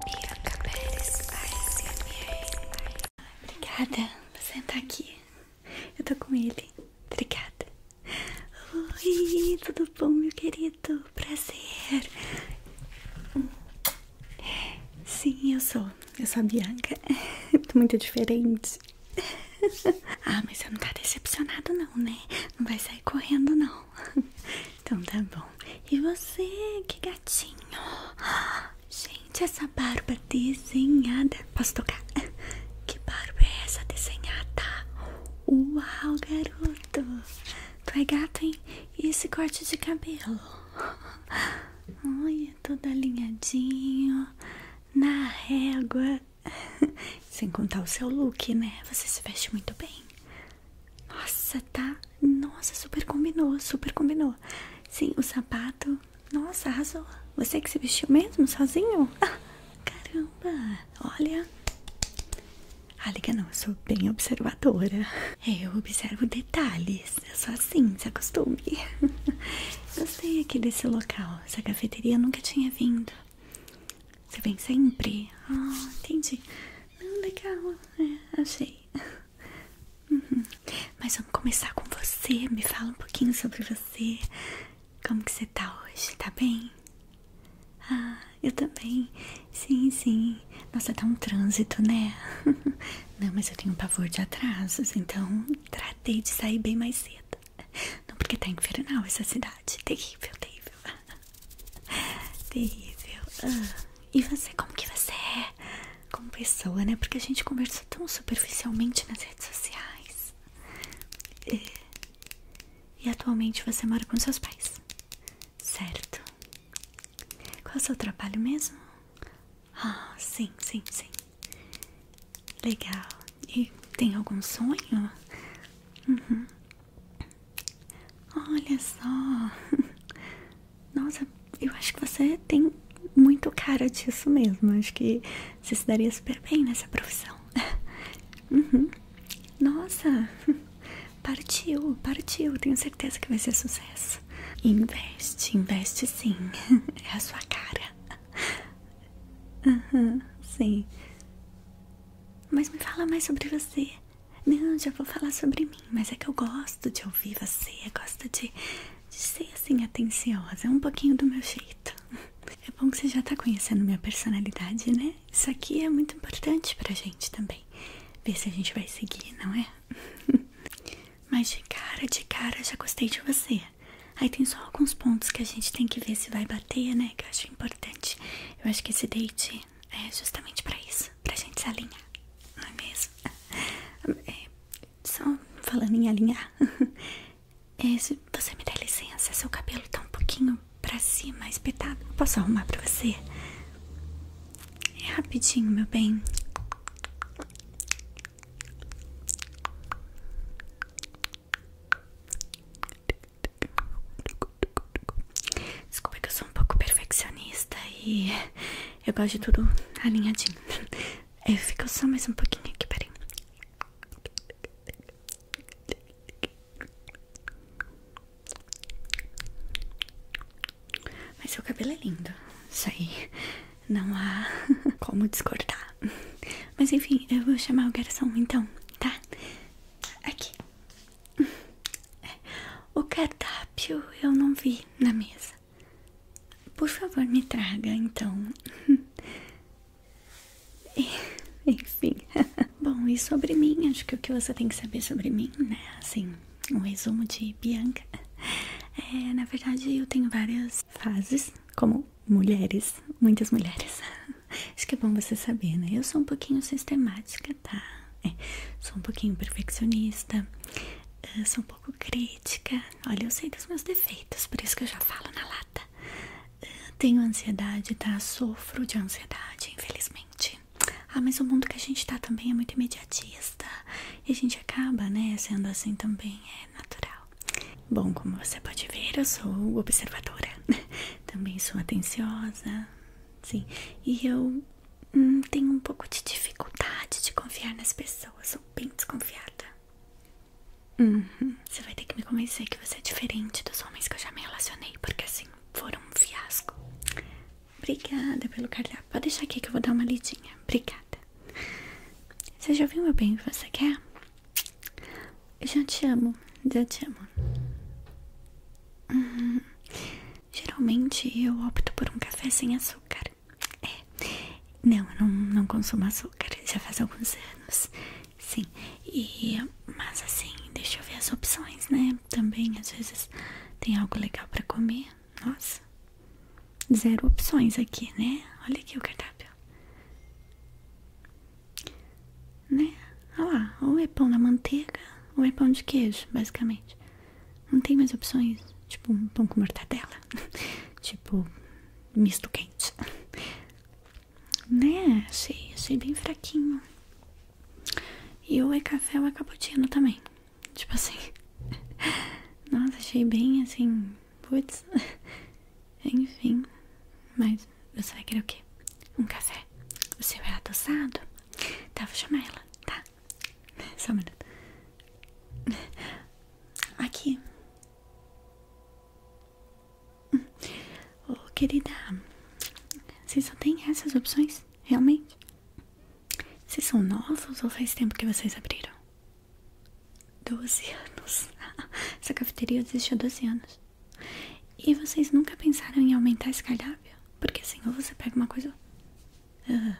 Bianca Pérez, ASMR. Obrigada por sentar aqui. Eu tô com ele. Obrigada. Oi, tudo bom, meu querido? Prazer. Sim, eu sou. Eu sou a Bianca. Tô muito diferente. Ah, mas você não tá decepcionado, não, né? Não vai sair correndo, não bom? então tá bom. E você, que gatinho? Gente, essa barba desenhada. Posso tocar? Que barba é essa desenhada? Uau, garoto! Tu é gato, hein? E esse corte de cabelo? Olha, todo alinhadinho, na régua. Sem contar o seu look, né? Você se veste muito bem. Nossa, tá? Nossa, super combinou, super combinou. Sim, o sapato. Nossa, arrasou. Você que se vestiu mesmo, sozinho? Ah, caramba, olha. A ah, liga não, eu sou bem observadora. É, eu observo detalhes. Eu sou assim, se acostume. Gostei aqui desse local. Essa cafeteria eu nunca tinha vindo. Você vem sempre? Ah, entendi. Não, legal. É, achei. Uhum. Mas vamos começar com você. Me fala um pouquinho sobre você. Como que você tá hoje? Tá bem? Ah, eu também. Sim, sim. Nossa, tá um trânsito, né? Não, mas eu tenho pavor de atrasos, então tratei de sair bem mais cedo. Não porque tá infernal essa cidade. Terrível, terrível. Terrível. Ah, e você, como que você é? Como pessoa, né? Porque a gente conversa tão superficialmente nas redes sociais. É. E, atualmente você mora com seus pais. Certo. Qual é o seu trabalho mesmo? Ah, sim, sim, sim. Legal. E tem algum sonho? Uhum. Olha só. Nossa, eu acho que você tem muito cara disso mesmo. Acho que você se daria super bem nessa profissão. Uhum. Nossa, partiu, partiu. Tenho certeza que vai ser sucesso. Investe, investe sim. É a sua cara. sim. Mas me fala mais sobre você. Não, já vou falar sobre mim, mas é que eu gosto de ouvir você, eu gosto de, de ser assim atenciosa, é um pouquinho do meu jeito. É bom que você já tá conhecendo minha personalidade, né? Isso aqui é muito importante pra gente também. Ver se a gente vai seguir, não é? Mas de cara, de cara, já gostei de você. Aí tem só alguns pontos que a gente tem que ver se vai bater, né? Que eu acho importante. Eu acho que esse date é justamente pra isso, pra gente se alinhar, não é mesmo? É, só falando em alinhar, é, se você me dá licença, seu cabelo tá um pouquinho pra cima, espetado. posso arrumar pra você? É rapidinho, meu bem. Desculpa que eu sou um pouco perfeccionista e eu gosto de tudo alinhadinho. Eu fico só mais um pouquinho aqui, peraí. Mas seu cabelo é lindo, isso aí não há como discordar. Mas enfim, eu vou chamar o garçom então, tá? Aqui. O cardápio eu não vi na mesa. Por favor, me traga então. Enfim. Bom, e sobre mim? Acho que o que você tem que saber sobre mim, né? Assim, um resumo de Bianca. É, na verdade, eu tenho várias fases, como mulheres, muitas mulheres. Acho que é bom você saber, né? Eu sou um pouquinho sistemática, tá? É, sou um pouquinho perfeccionista, eh, sou um pouco crítica. Olha, eu sei dos meus defeitos, por isso que eu já falo na lata. Eh, tenho ansiedade, tá? Sofro de ansiedade, infelizmente. Ah, mas o mundo que a gente tá também é muito imediatista. E a gente acaba, né, sendo assim também, é natural. Bom, como você pode ver, eu sou observadora. também sou atenciosa, sim. E eu hum, tenho um pouco de dificuldade de confiar nas pessoas, sou bem desconfiada. Uhum. Você vai ter que me convencer que você é diferente dos homens que eu já me relacionei, porque assim foram um fiasco. Obrigada pelo cardápio. Pode deixar aqui que eu vou dar uma lidinha. Obrigada. Você já viu meu bem o você quer? Eu já te amo, já te amo. Uhum. Geralmente eu opto por um café sem açúcar. É. Não, eu não, consumo açúcar, já faz alguns anos. Sim. E mas assim, deixa eu ver as opções, né? Também às vezes tem algo legal para comer. Nossa. Zero opções aqui, né? Olha aqui o cardápio. Né? Olha lá, ou é pão na manteiga, ou é pão de queijo, basicamente. Não tem mais opções. Tipo um pão com mortadela. tipo misto quente. Né? Achei, achei bem fraquinho. E ou é café ou é cappuccino também. Tipo assim. Nossa, achei bem assim. Putz. Enfim. Mas você vai querer o quê? Um café. O seu é adoçado? Tá, vou chamar ela, tá? Só um minuto. Aqui. querida, vocês só tem essas opções? Realmente? Vocês são novos ou faz tempo que vocês abriram? 12 anos. Essa cafeteria existe há 12 anos. E vocês nunca pensaram em aumentar esse cardápio? Porque assim, você pega uma coisa. Ah,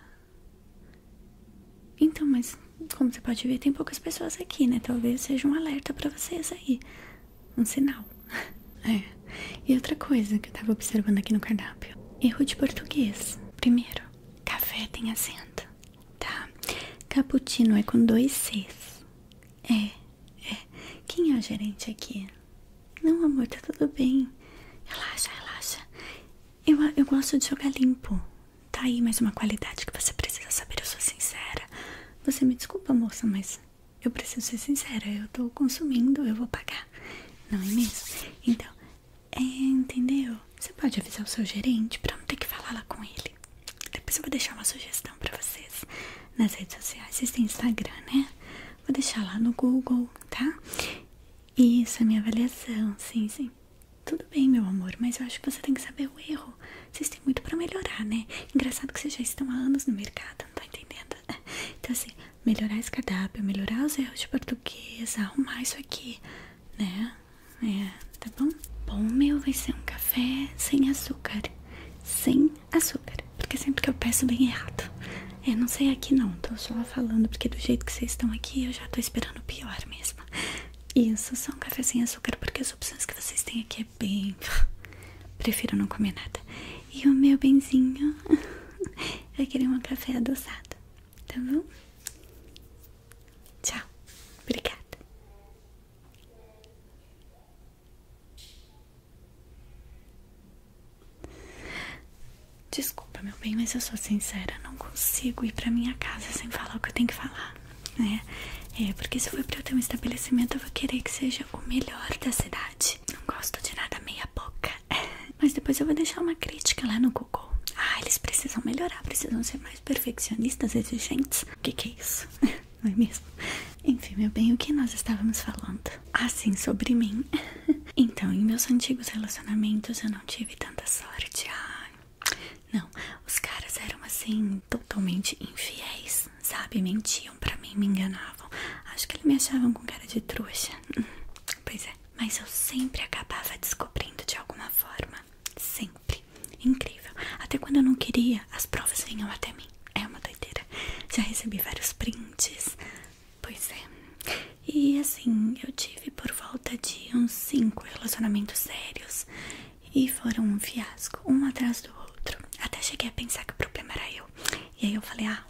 então, mas como você pode ver, tem poucas pessoas aqui, né? Talvez seja um alerta para vocês aí. Um sinal. é. E outra coisa que eu tava observando aqui no cardápio: erro de português. Primeiro, café tem acento, tá? Cappuccino é com dois Cs. É, é. Quem é o gerente aqui? Não, amor, tá tudo bem. Relaxa, relaxa. Eu, eu gosto de jogar limpo. Tá aí mais uma qualidade que você precisa saber. Eu sou sincera. Você me desculpa, moça, mas eu preciso ser sincera. Eu tô consumindo, eu vou pagar. Não é mesmo? Então, é, entendeu? Você pode avisar o seu gerente pra não ter que falar lá com ele. Depois eu vou deixar uma sugestão pra vocês nas redes sociais. Vocês têm Instagram, né? Vou deixar lá no Google tá? Isso, a é minha avaliação, sim, sim. Tudo bem, meu amor, mas eu acho que você tem que saber o erro. Vocês têm muito para melhorar, né? Engraçado que vocês já estão há anos no mercado, não tá entendendo? Então, assim, melhorar esse cadáver melhorar os erros de português, arrumar isso aqui, né? É, tá bom? Bom, meu, vai ser um café sem açúcar, sem açúcar, porque sempre que eu peço bem errado. é não sei aqui não, tô só falando porque do jeito que vocês estão aqui eu já tô esperando pior mesmo. Isso, são um sem açúcar porque as opções que vocês têm aqui é bem... Prefiro não comer nada. E o meu benzinho, eu queria um café adoçado, tá bom? Tchau, obrigada. Desculpa, meu bem, mas eu sou sincera, não consigo ir pra minha casa sem falar o que eu tenho que falar, né? É, porque se for pra eu ter um estabelecimento, eu vou querer que seja o melhor da cidade. Não gosto de nada meia boca. Mas depois eu vou deixar uma crítica lá no Google. Ah, eles precisam melhorar, precisam ser mais perfeccionistas, exigentes. O que, que é isso? Não é mesmo? Enfim, meu bem, o que nós estávamos falando? assim sobre mim. Então, em meus antigos relacionamentos eu não tive tanta sorte. Ah, não, os caras eram assim, totalmente infiéis, sabe? Mentiam pra mim, me enganavam. Acho que eles me achavam com cara de trouxa. Pois é, mas eu sempre acabava descobrindo de alguma forma. Sempre. Incrível. Até quando eu não queria, as provas vinham até mim. É uma doideira. Já recebi vários prints, Pois é. E assim, eu tive por volta de uns cinco relacionamentos sérios e foram um fiasco, um atrás do outro. Até cheguei a pensar que o problema era eu. E aí eu falei: "Ah,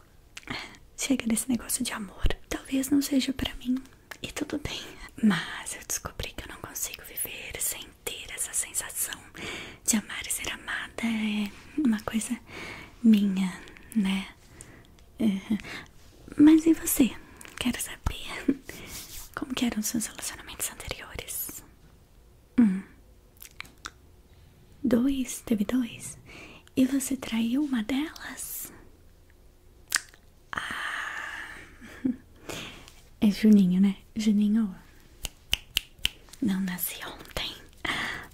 chega desse negócio de amor. Talvez não seja para mim." E tudo bem, mas eu descobri que eu não consigo viver sem ter essa sensação de amar e ser amada. É uma coisa minha, né? Uhum. Mas e você? Quero saber como eram os seus relacionamentos anteriores? Um. Dois? Teve dois? E você traiu uma delas? Ah. É Juninho, né? Juninho não nasci ontem.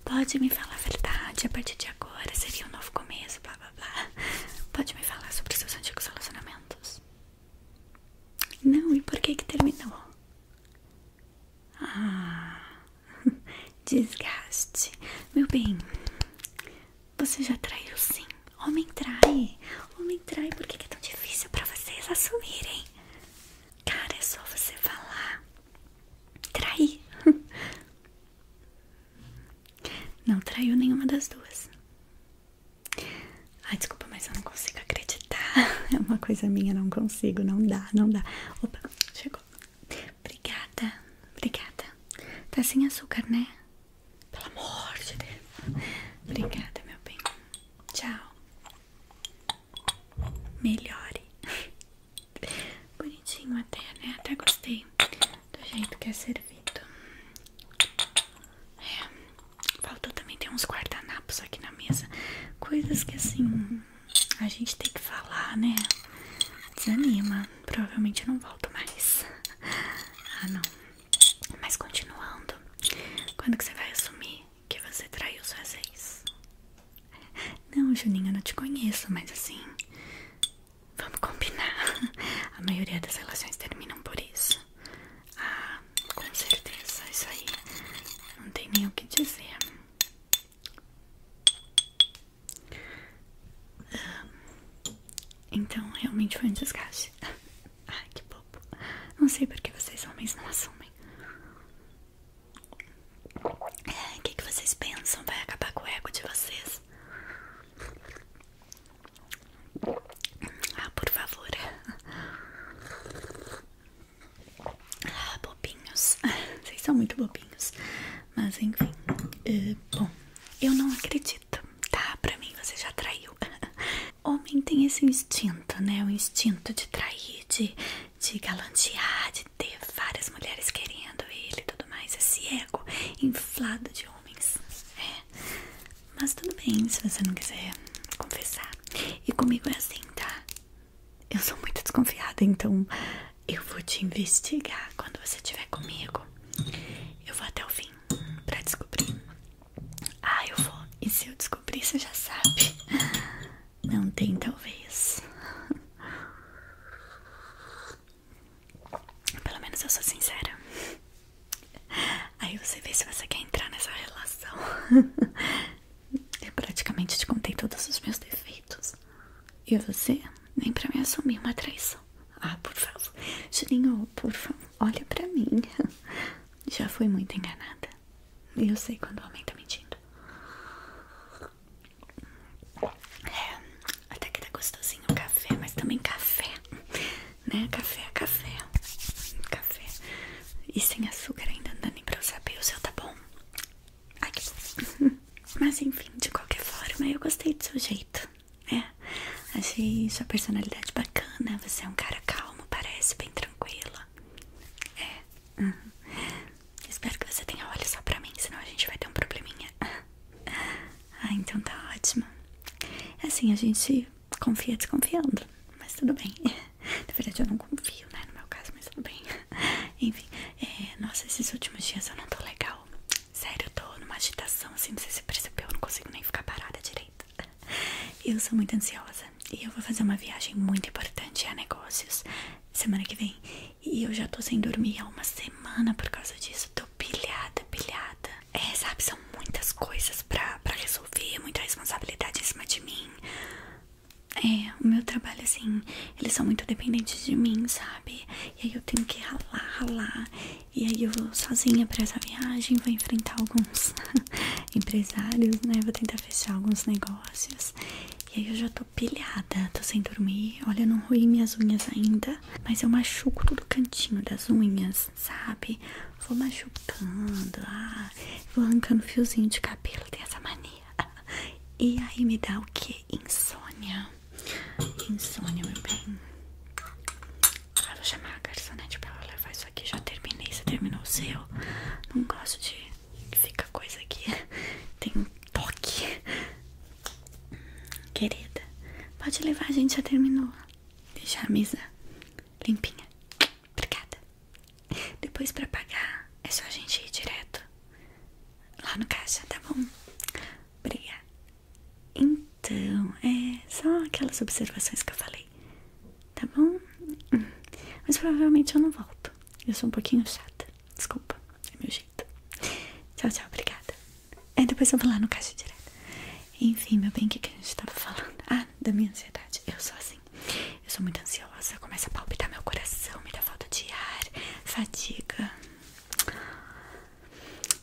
Pode me falar a verdade, a partir de agora seria um novo começo, blá blá blá. Pode me falar sobre seus antigos relacionamentos? Não, e por que que terminou? Ah, desgaste. Meu bem, você já traiu sim. Homem trai, homem trai, por que que é tão difícil pra vocês assumirem? Cara, é só você falar. Traí. Não traiu nenhuma das duas. Ai, desculpa, mas eu não consigo acreditar. É uma coisa minha, não consigo, não dá, não dá. Opa, chegou. Obrigada, obrigada. Tá sem açúcar, né? Pelo amor de Deus. Obrigada, meu bem. Tchau. Melhore. Bonitinho até, né? Até gostei do jeito que é servido. É, faltou também ter uns guardanapos aqui na mesa. Coisas que assim a gente tem que falar, né? Desanima. Provavelmente não volto mais. Ah não. Mas continuando. Quando que você vai assumir que você traiu os ex? Não, Juninho, eu não te conheço, mas assim, vamos combinar. A maioria das relações terminam por isso. Ah, com certeza, isso aí não tem nem o que dizer. Ah, então, realmente foi um desgaste. Ai, que bobo. Não sei por que vocês homens não assumem. O que, vocês pensam? Vai acabar com o ego de vocês? Ah, por favor. Ah, bobinhos. Vocês são muito bobinhos. Mas enfim. Eh, bom, eu não acredito, tá? Pra mim você já traiu. Homem tem esse instinto, né? O instinto de trair, de de galantear, de ter várias mulheres querendo ele e tudo mais, esse ego inflado de homens. É. Mas tudo bem se você não quiser confessar. E comigo é assim, tá? Eu sou muito desconfiada, então eu vou te investigar quando você estiver comigo. Eu vou até o fim pra descobrir. Ah, eu vou. E se eu descobrir, você já sabe. Não tem, talvez. Pelo menos eu sou sincera. Aí você vê se você quer entrar nessa relação. Eu praticamente te contei todos os meus defeitos. E você? Nem pra mim assumir uma traição. Ah, por favor. Juninho, por favor, olha pra mim. Já fui muito enganada. E eu sei quando o homem tá mentindo. É, até que tá gostosinho o café, mas também café, né? Café, café, café. E sem açúcar ainda não dá nem pra eu saber. O seu tá bom? Ai, Mas enfim, de qualquer forma, eu gostei do seu jeito, é. Achei sua personalidade bacana. Você é um cara calmo, parece bem tranquila. É. Uhum. Espero que você tenha olho só pra mim, senão a gente vai ter um probleminha. Ah, então tá ótimo. É assim, a gente confia desconfiando, mas tudo bem. Na verdade, eu não confio, né? No meu caso, mas tudo bem. Enfim, é, nossa, esses últimos dias eu não tô legal. Sério, eu tô numa agitação, assim, não sei se percebeu, eu não consigo nem ficar parada direito. Eu sou muito ansiosa e eu vou fazer uma viagem muito importante a negócios semana que vem. E eu já tô sem dormir há uma semana por causa disso. Tô pilhada, pilhada. É, sabe, são muitas coisas pra, pra resolver, muita responsabilidade em cima de mim. É, o meu trabalho, assim, eles são muito dependentes de mim, sabe? E aí eu tenho que ralar, ralar. E aí eu vou sozinha pra essa viagem, vou enfrentar alguns empresários, né? Vou tentar fechar alguns negócios. E aí eu já tô pilhada, tô sem dormir. Olha, eu não ruí minhas unhas ainda, mas eu machuco todo cantinho das unhas, sabe? Vou machucando, ah, vou arrancando fiozinho de cabelo, tem essa mania. E aí me dá o que? Insônia. Insônia, meu bem. Ah, vou chamar a garçonete pra ela levar isso aqui. Já terminei, você terminou o seu? Não gosto de fica coisa aqui, tem um toque. Querida, pode levar, a gente já terminou. deixar a mesa limpinha. Obrigada. Depois pra pagar, é só a gente ir direto lá no caixa, tá bom? Obrigada. Então, é só aquelas observações que eu falei, tá bom? Hum. Mas provavelmente eu não volto. Eu sou um pouquinho chata. Desculpa, é meu jeito. Tchau, tchau, obrigada. É, depois eu vou lá no caixa direto. Enfim, meu bem, o que, que a gente tava falando? Ah, da minha ansiedade. Eu sou assim. Eu sou muito ansiosa. Começa a palpitar meu coração, me dá falta de ar, fadiga.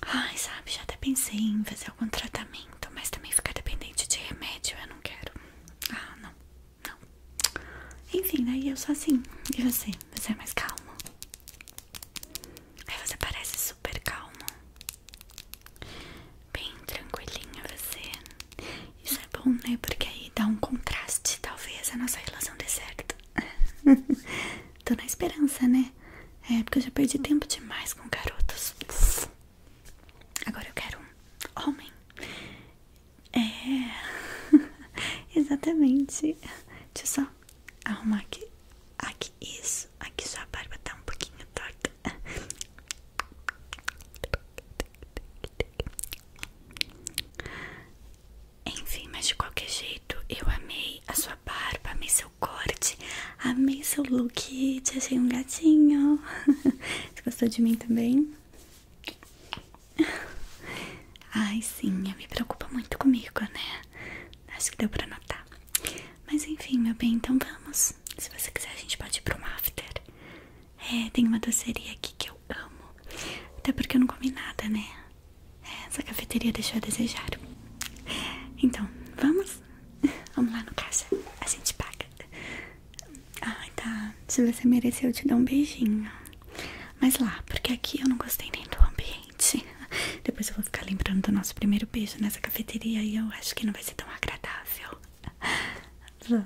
Ai, sabe, já até pensei em fazer algum tratamento, mas também ficar dependente de remédio eu não quero. Ah, não. Não. Enfim, daí eu sou assim. E você? Você é mais calmo? Aí você parece super calmo. Bem tranquilinha você. Isso é bom, né? Porque aí dá um contraste, talvez, a nossa relação dê certo. Tô na esperança, né? É, porque eu já perdi tempo demais com garotos. Agora eu quero um homem. É, exatamente. Deixa eu só arrumar aqui. Aqui, isso. Aqui sua barba tá um pouquinho torta. Enfim, mas de qualquer jeito, eu amei a sua barba, amei seu corte, amei seu look. Te achei um gatinho. Você gostou de mim também? Ai, sim, me preocupa muito comigo, né? Acho que deu pra notar. Mas enfim, meu bem, então vamos. Se você quiser, a gente pode ir pro um after. É, tem uma doceria aqui que eu amo. Até porque eu não comi nada, né? É, essa cafeteria deixou a desejar. Então, vamos? Vamos lá no caixa. A gente paga. Ai, tá. Se você mereceu, eu te dou um beijinho. Mas lá, porque aqui eu não gostei nem do ambiente. Depois eu vou ficar lembrando do nosso primeiro beijo nessa cafeteria e eu acho que não vai ser tão agradável. Vamos.